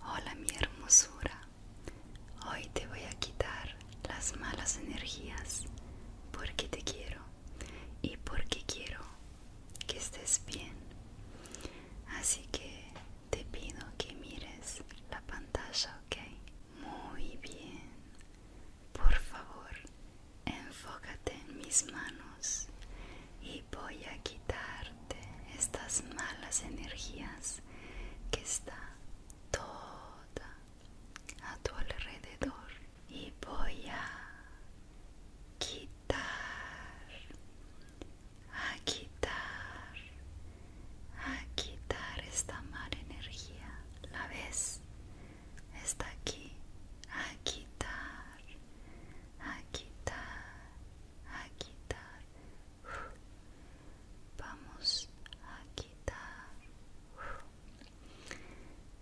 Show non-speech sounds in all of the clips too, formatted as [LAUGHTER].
Hola mi hermosura, hoy te voy a quitar las malas energías porque te quiero y porque quiero que estés bien. Así que te pido que mires la pantalla, ¿ok? Muy bien. Por favor, Enfócate en mis manos y voy a quitarte estas malas energías que está toda a tu alrededor y voy a quitar a quitar a quitar esta mala energía la ves está aquí a quitar a quitar A quitar Vamos a quitar.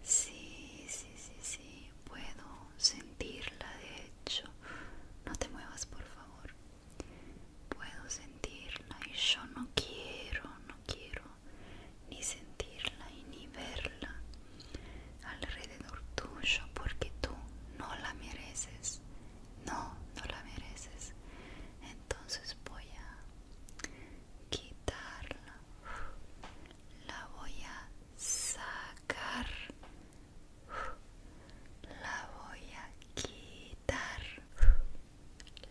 Sí, sí, sí, sí. Puedo sentirla, de hecho. No te muevas, por favor. Puedo sentirla y yo no quiero, no quiero ni sentirla y ni verla alrededor tuyo porque tú no la mereces no no la mereces entonces voy a quitarla la voy a sacar la voy a quitar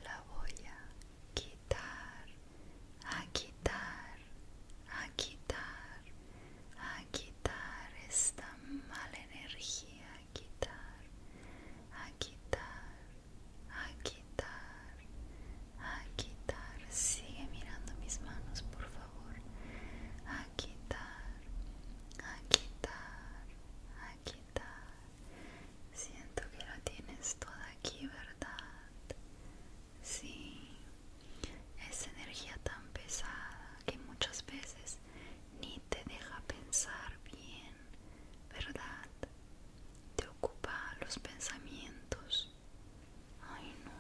la voy a quitar a quitar, a quitar, a quitar esta mala energía, a quitar, a quitar, a quitar, a quitar. Sigue mirando mis manos, por favor. A quitar, a quitar, a quitar. Siento que la tienes toda aquí, ¿verdad? Sí, esa energía tan pesada que muchas veces ni te deja pensar bien, ¿verdad? Te ocupa los pensamientos. Ay no,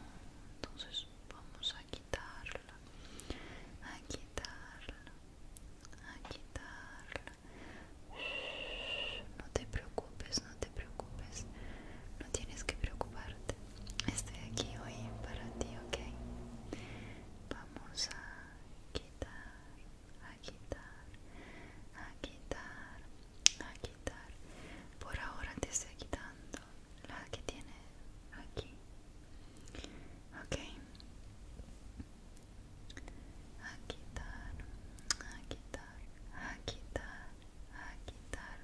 entonces vamos a quitarla, a quitarla, a quitarla. No te preocupes, no te preocupes, no tienes que preocuparte. Estoy aquí hoy para ti, ok. Vamos a quitar, a quitar, a quitar, a quitar. Por ahora te estoy quitando la que tiene aquí, ok. A quitar, a quitar, a quitar, a quitar.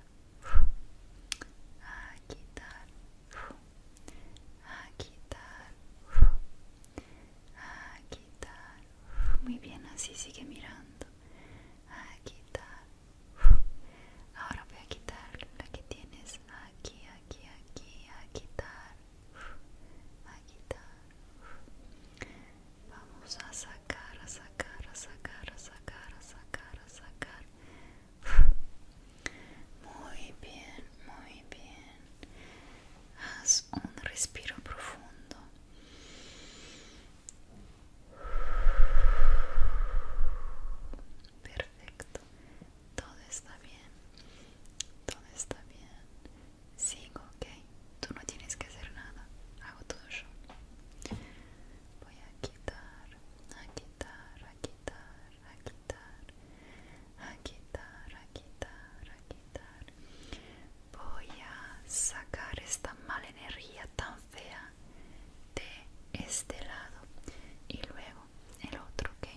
Aquí quitar, Aquí Aquí Muy bien, así sigue mirando. Aquí Ahora voy a quitar la que tienes aquí, aquí, aquí, a quitar, Aquí Vamos a sacar, a sacar, a sacar, a sacar, a sacar, sacar muy bien muy bien haz un respiro profundo perfecto todo está bien todo está bien sigo ok tú no tienes que hacer nada hago todo yo voy a quitar, a quitar, a quitar, a quitar, a quitar, a quitar, a quitar. Voy a sacar esta mala energía tan fea de este lado y luego el otro, ¿ok?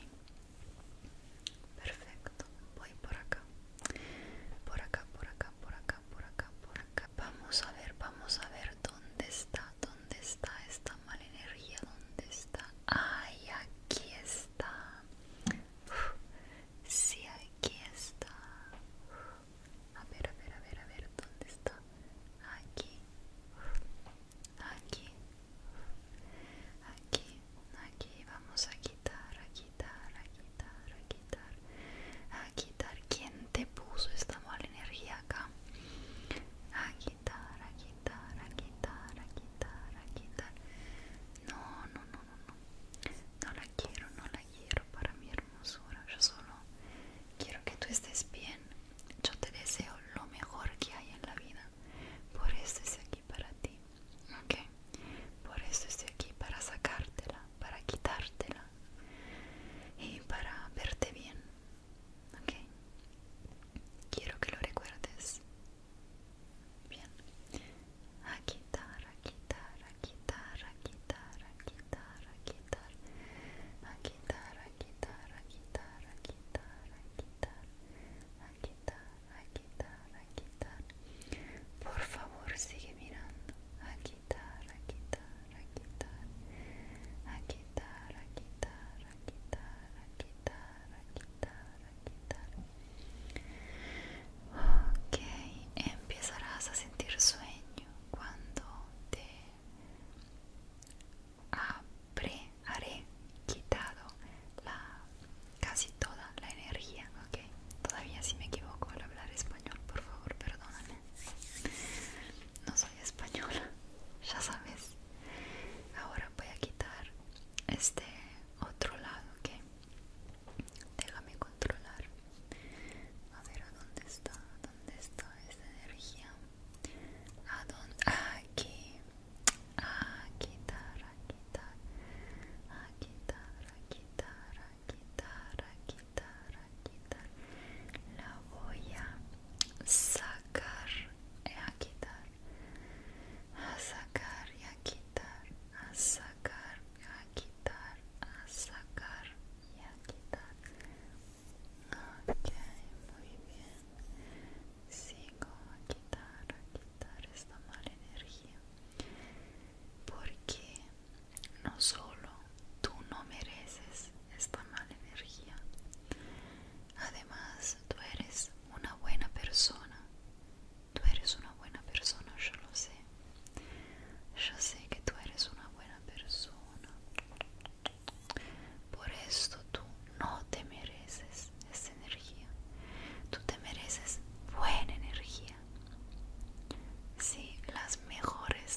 Perfecto, voy por acá, por acá, por acá, por acá, por acá, por acá. Vamos a ver, vamos a ver dónde está, dónde ¿Dónde está esta mala energía? ¿Dónde está? ¡Ay, aquí está! sí, aquí está. a ver, a ver, a ver, a ver, ¿dónde está? Aquí. aquí. aquí. Aquí. Vamos a quitar, a quitar, a quitar, a quitar. Aquí quitar quién te puso esta mala energía acá a quitar a quitar a quitar a quitar a quitar no no no no no no la quiero no la quiero para mi hermosura yo solo quiero que tú estés bien yo te deseo lo mejor que hay en la vida por eso estoy aquí para ti ok por eso estoy aquí para sacártela para quitártela y para verte bien Ok. Quiero que lo recuerdes. Bien. A quitar, a quitar, a quitar, a quitar, a quitar, a quitar. A quitar, a quitar, a quitar, quitar, quitar. A quitar, a quitar, a quitar. Por favor, sigue mirando. Ok, empezarás a sentir sueño cuando te habré, haré quitado casi toda la energía, ok. Todavía si me equivoco al hablar español, por favor, perdóname no soy española, [LAUGHS] ya sabes. Ahora voy a quitar este otro lado, ¿ok? Déjame controlar. A ver, ¿a dónde está? ¿Dónde está esa energía? ¿A dónde? Aquí. quitar, quitar. quitar, a quitar, a quitar, a quitar. La voy a sacar, eh, a quitar. A sacar y a quitar. A sacar, y a quitar. A sacar y a quitar. Ok, muy bien. Sigo a quitar, a quitar esta mala energía. Porque no solo tú no mereces esta mala energía. Además, tú eres una buena persona. Tú eres una buena persona, yo lo sé. Yo sé que tú eres una buena persona. Por esto tú no te mereces esta energía. Tú te mereces buena energía. Sí, las mejores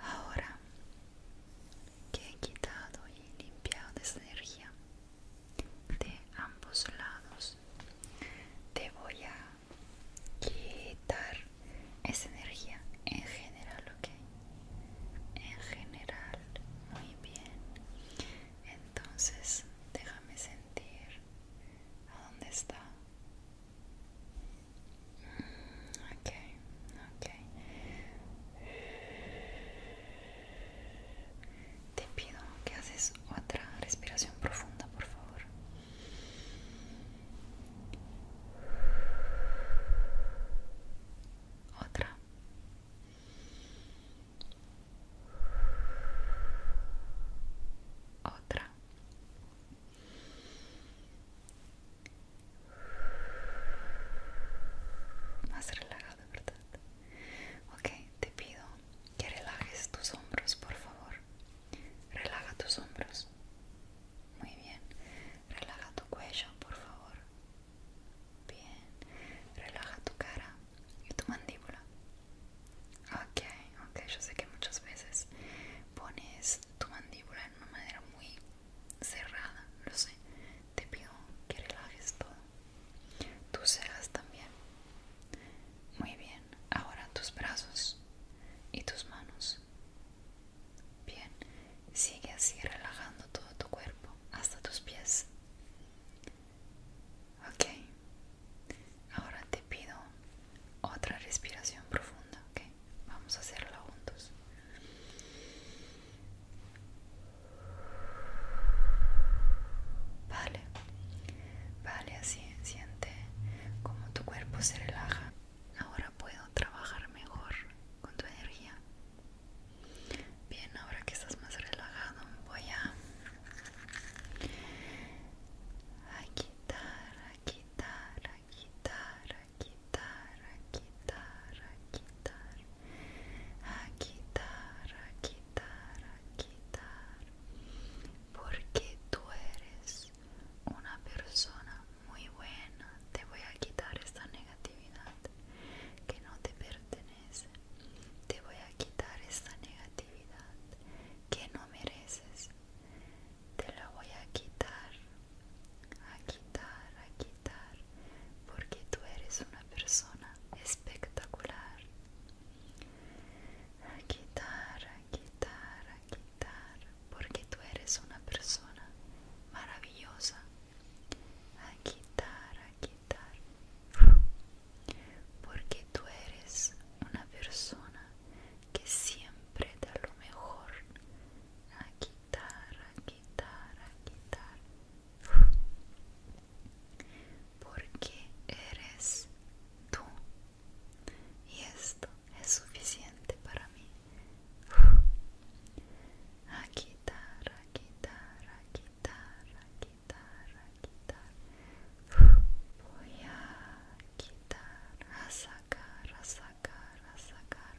Ahora que he quitado y limpiado esa energía de ambos lados, te voy a quitar esa energía en general, ¿ok? En general, muy bien. Entonces, déjame sentir a dónde está. Te pido que haces otra respiración profunda, por favor. Otra. Otra. Más relajado, ¿verdad? Ok, te pido que relajes tus hombros, por favor. Relaja tus hombros. Muy bien. Relaja tu cuello, por favor. Bien. Relaja tu cara y tu mandíbula. Ok, ok, yo sé que muchas veces pones tu mandíbula en una manera muy cerrada, lo sé, te pido que relajes todo, tus cejas también, muy bien, ahora tus brazos y tus manos, bien, sigue así relajando todo tu cuerpo hasta tus pies, ok, ahora te pido otra respiración profunda, ¿ok? Vamos a hacerla juntos. Vale, vale, así siente como tu cuerpo se relaja. Ahora puedo trabajar mejor con tu energía. Bien, ahora que estás más relajado, voy a, a quitar, a quitar, a quitar, a quitar, a quitar, a quitar, a quitar, a quitar, a quitar, porque tú eres una persona muy buena. Te voy a quitar esta negatividad que no te pertenece. Te voy a quitar esta negatividad que no mereces. Te la voy a quitar a quitar, a quitar, porque tú eres una persona espectacular. A quitar, a quitar, a quitar, porque tú eres una persona maravillosa. A quitar, a quitar, porque tú eres una persona que siempre da lo mejor a quitar, a quitar, a quitar. Porque eres tú. Y esto es suficiente para mí. A quitar, a quitar, a quitar, a quitar, quitar. Voy a quitar, a sacar, a sacar, a sacar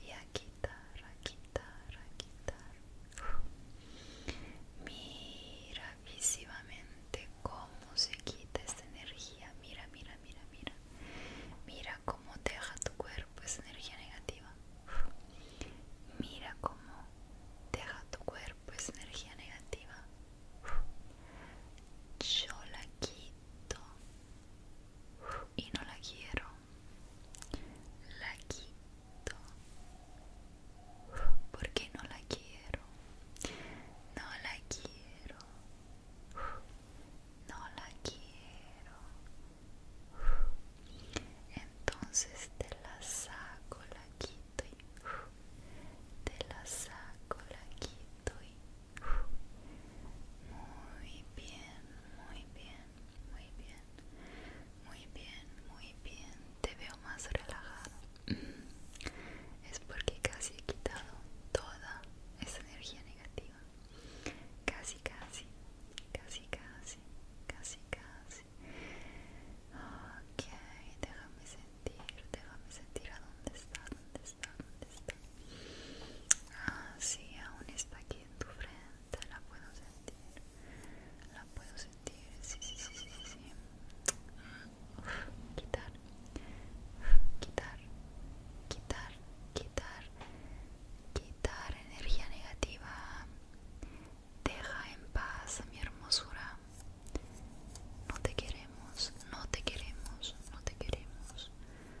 y a quitar, a quitar, a quitar. Mira visivamente cómo se quita esta energía. Mira, mira, mira, mira. Mira cómo deja tu cuerpo esa energía negativa. Mira cómo deja tu cuerpo esa energía negativa. Yo la quito, y no la quiero la quito porque no la quiero no la quiero no la quiero entonces te la saco la quito y te la saco la quito y muy bien, muy bien, muy bien, muy bien, muy bien. Te veo más relajado. Mm. Es porque casi he quitado toda esa energía negativa. Casi, casi, casi, casi, casi, casi. Ok, déjame sentir, déjame sentir a dónde está, dónde está, dónde está. Ah, sí, aún está aquí en tu frente, la puedo sentir. La puedo sentir, sí, sí, sí, sí, sí. quitar, quitar, quitar, quitar, quitar energía negativa. Deja en paz mi hermosura. No te queremos, no te queremos, no te queremos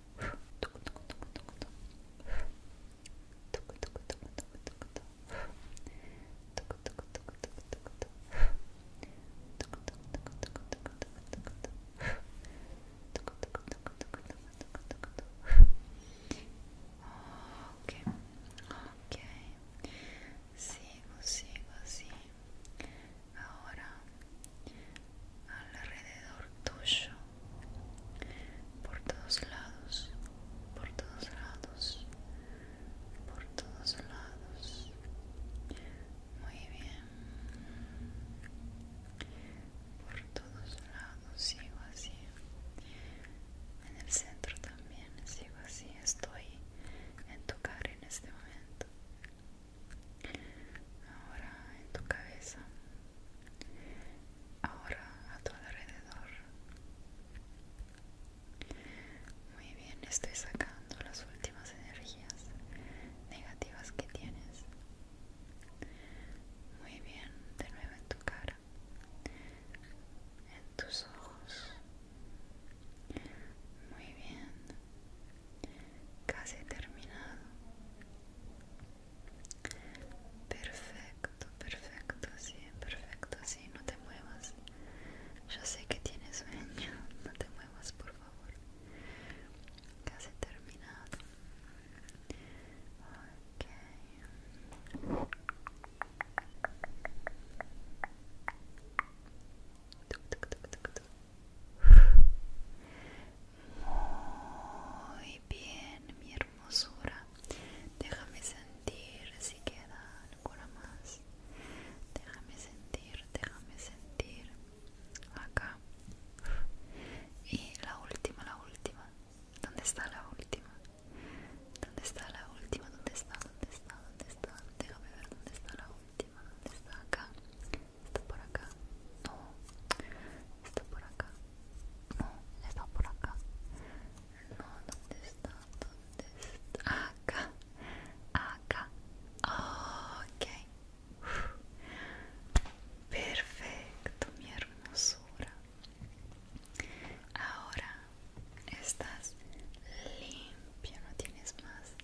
Okay, okay. sigo, sigo así. Ahora, alrededor tuyo por todos lados, por todos lados, por todos lados. Muy bien. Por todos lados sigo así. En el centro también sigo así. Estoy en tu cara en este momento. Ahora en tu cabeza ahora a tu alrededor. Muy bien, estoy sacando las últimas energías negativas que tienes. Muy bien, de nuevo en tu cara, en tus ojos. Muy bien, casi terminado. Perfecto, perfecto, sí, perfecto, sí, no te muevas. Yo sé que tienes sueño, [LAUGHS] no te muevas, por favor. Casi terminado. Ok. Muy bien, mi hermano hermosura. Déjame sentir si queda alguna más. Déjame sentir, déjame sentir. Acá. Y la última, la última. ¿Dónde está la última? ¿Dónde está la última? ¿Dónde está? ¿Dónde está? ¿Dónde está? Déjame ver dónde está la última. ¿Dónde está? Acá. Está por acá. No. Está por acá no, está por acá no, ¿dónde está? ¿dónde está? acá acá ok perfecto mi hermosura ahora estás limpio, no tienes más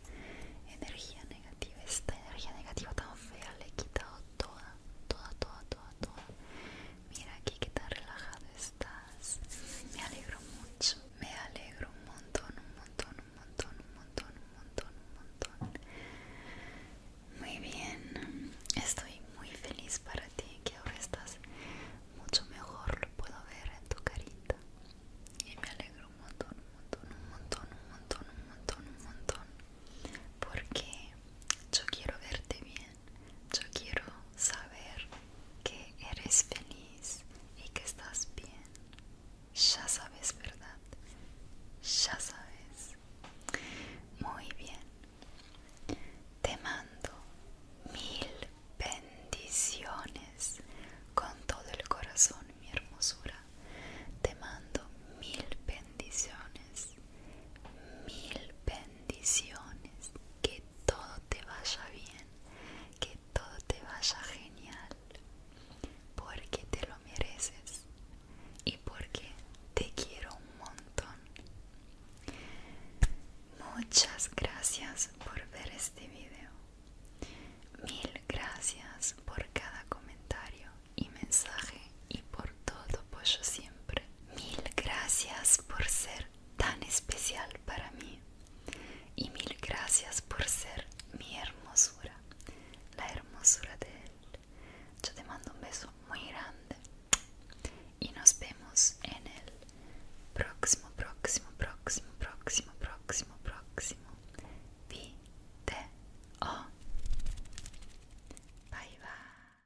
energía negativa esta energía negativa tan fea le he quitado toda toda toda toda Mira aquí que tan relajado estás. Me alegro mucho. Me alegro un montón, un montón, un montón, un montón, un montón, un montón. Muy bien. Estoy muy feliz para ti que ahora estás mucho mejor. Lo puedo ver en tu carita. Y me alegro un montón, un montón, un montón, un montón, un montón, un montón. Porque yo quiero verte bien yo quiero saber que eres feliz y que estás bien. Ya sabes, ¿verdad? Ya sabes. Muy bien. Te mando mil bendiciones con todo el corazón, mi hermosura. Te mando mil bendiciones mil bendiciones, que todo te vaya bien, que todo te vaya genial, porque te lo mereces y porque te quiero un montón. Muchas gracias por ver este video. Mil gracias por cada comentario y mensaje y por todo yo siempre. Mil gracias por ser tan especial para mí y mil gracias por ser mi hermosura, la hermosura de él. Yo te mando un beso muy grande y nos vemos en el próximo, próximo, próximo, próximo, próximo, próximo próximo. Bye bye.